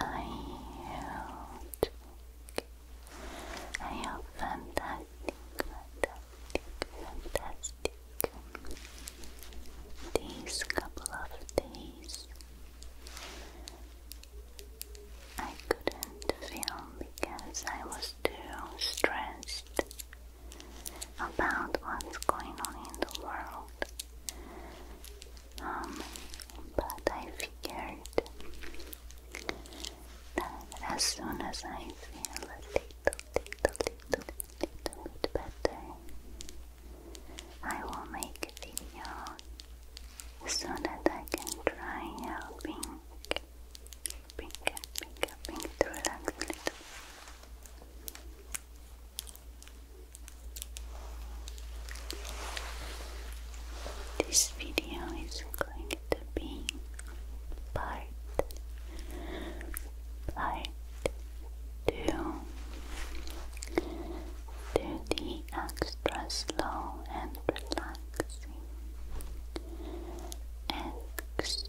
are you I am fantastic, fantastic, fantastic. These couple of days I couldn't film because I was too stressed about what's going on in the world. Um, but I figured that as soon as I feel a little, little, little, little bit better, I will make a video so that I can try helping, helping, helping, helping to relax a little. This video is going to be part part two do the extra slow and relaxing extra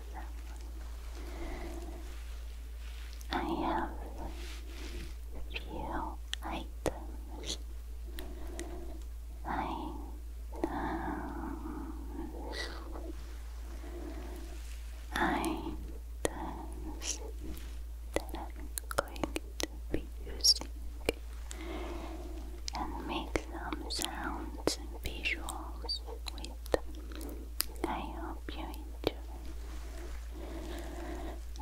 I have few items. Items. Items that I'm going to be using and make some sounds and visuals with I hope you enjoy.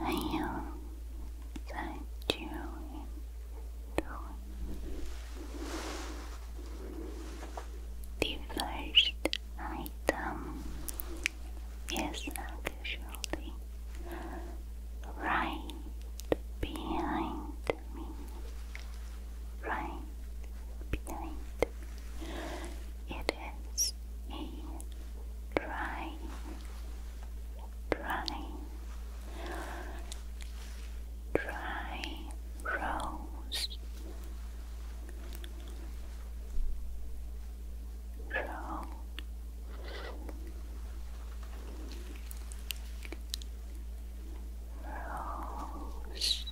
I hope that you enjoy. The first item is actually right behind me. Right behind it is a dry, dry, dry rose. Rose. Rose.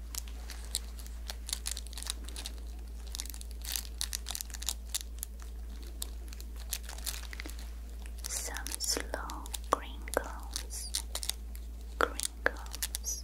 Some slow crinkles, crinkles.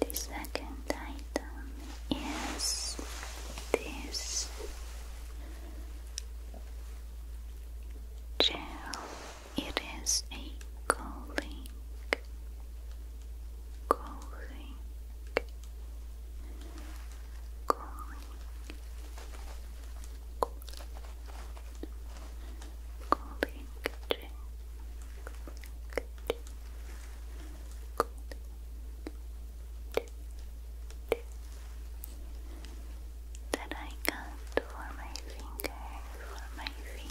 The second item is this gel. It is a cooling, cooling, cooling, Golden kitchen. Golden That I got for my finger, for my finger.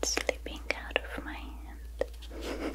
It's slipping out of my hand.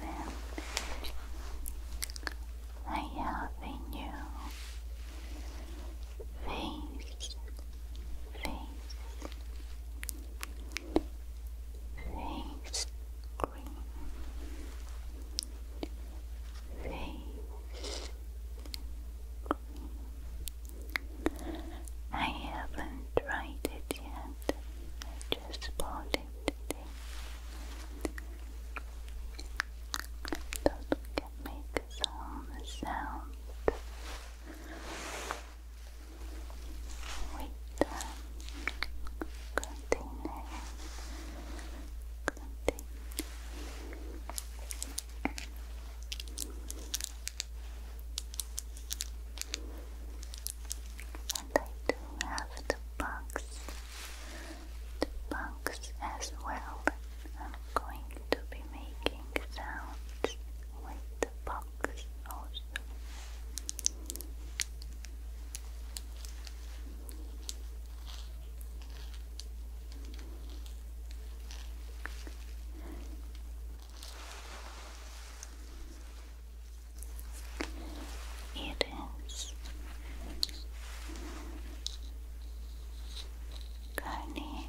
Then I have a new face, face, face cream face cream. I haven't tried it yet. I just bought it today. Thought we make some sound with uh, container. container. And I do have the box, the box as well. I'm going to be making sounds with the box also. It is Connie. Connie.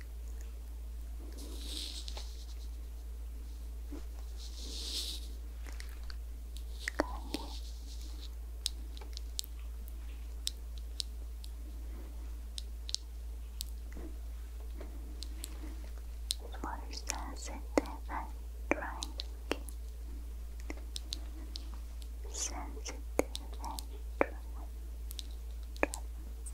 for sensitive and dry skin. Sensitive and dry.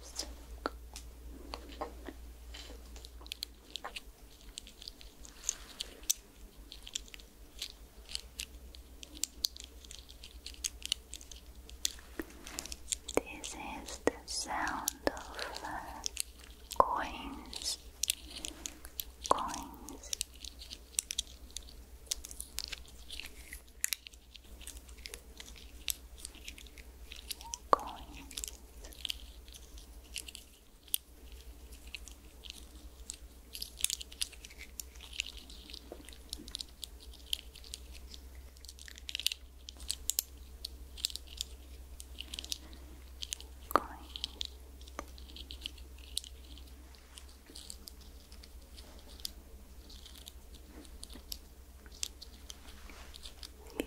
This is the sound of uh, coins, coins. Coins. Going.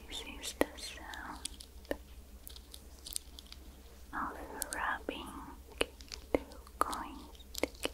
This is the sound of rubbing two coins together.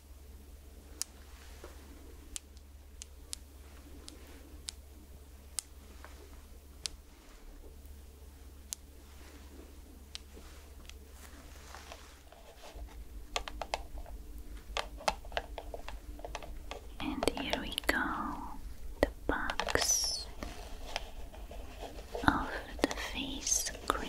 And here we go, the box of the face cream.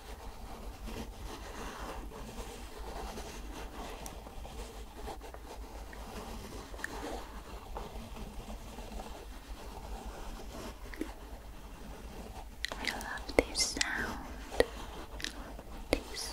I love this sound. This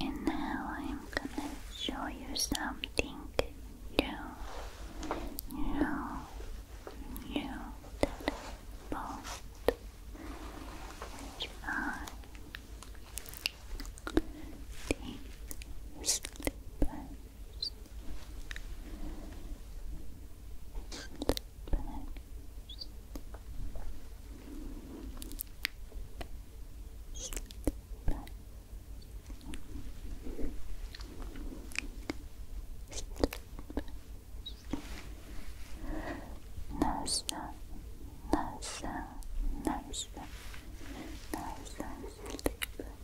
And now I'm gonna show you something new, new, new that I bought, which NASA, NASA, NASA, NASA, sleep.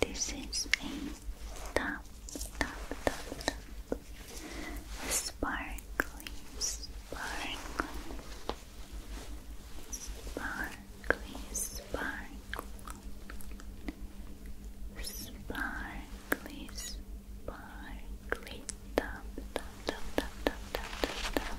This is a top, top, top, top, sparkling, sparkling, sparkling, sparkling, sparkly, sparkly, tap, tap, tap, tap, tap, tap, tap, tap.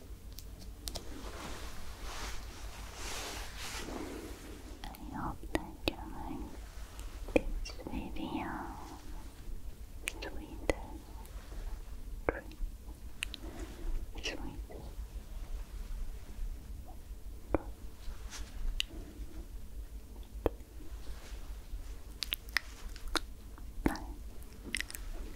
I hope that you like this video sweet cream sweet Bye.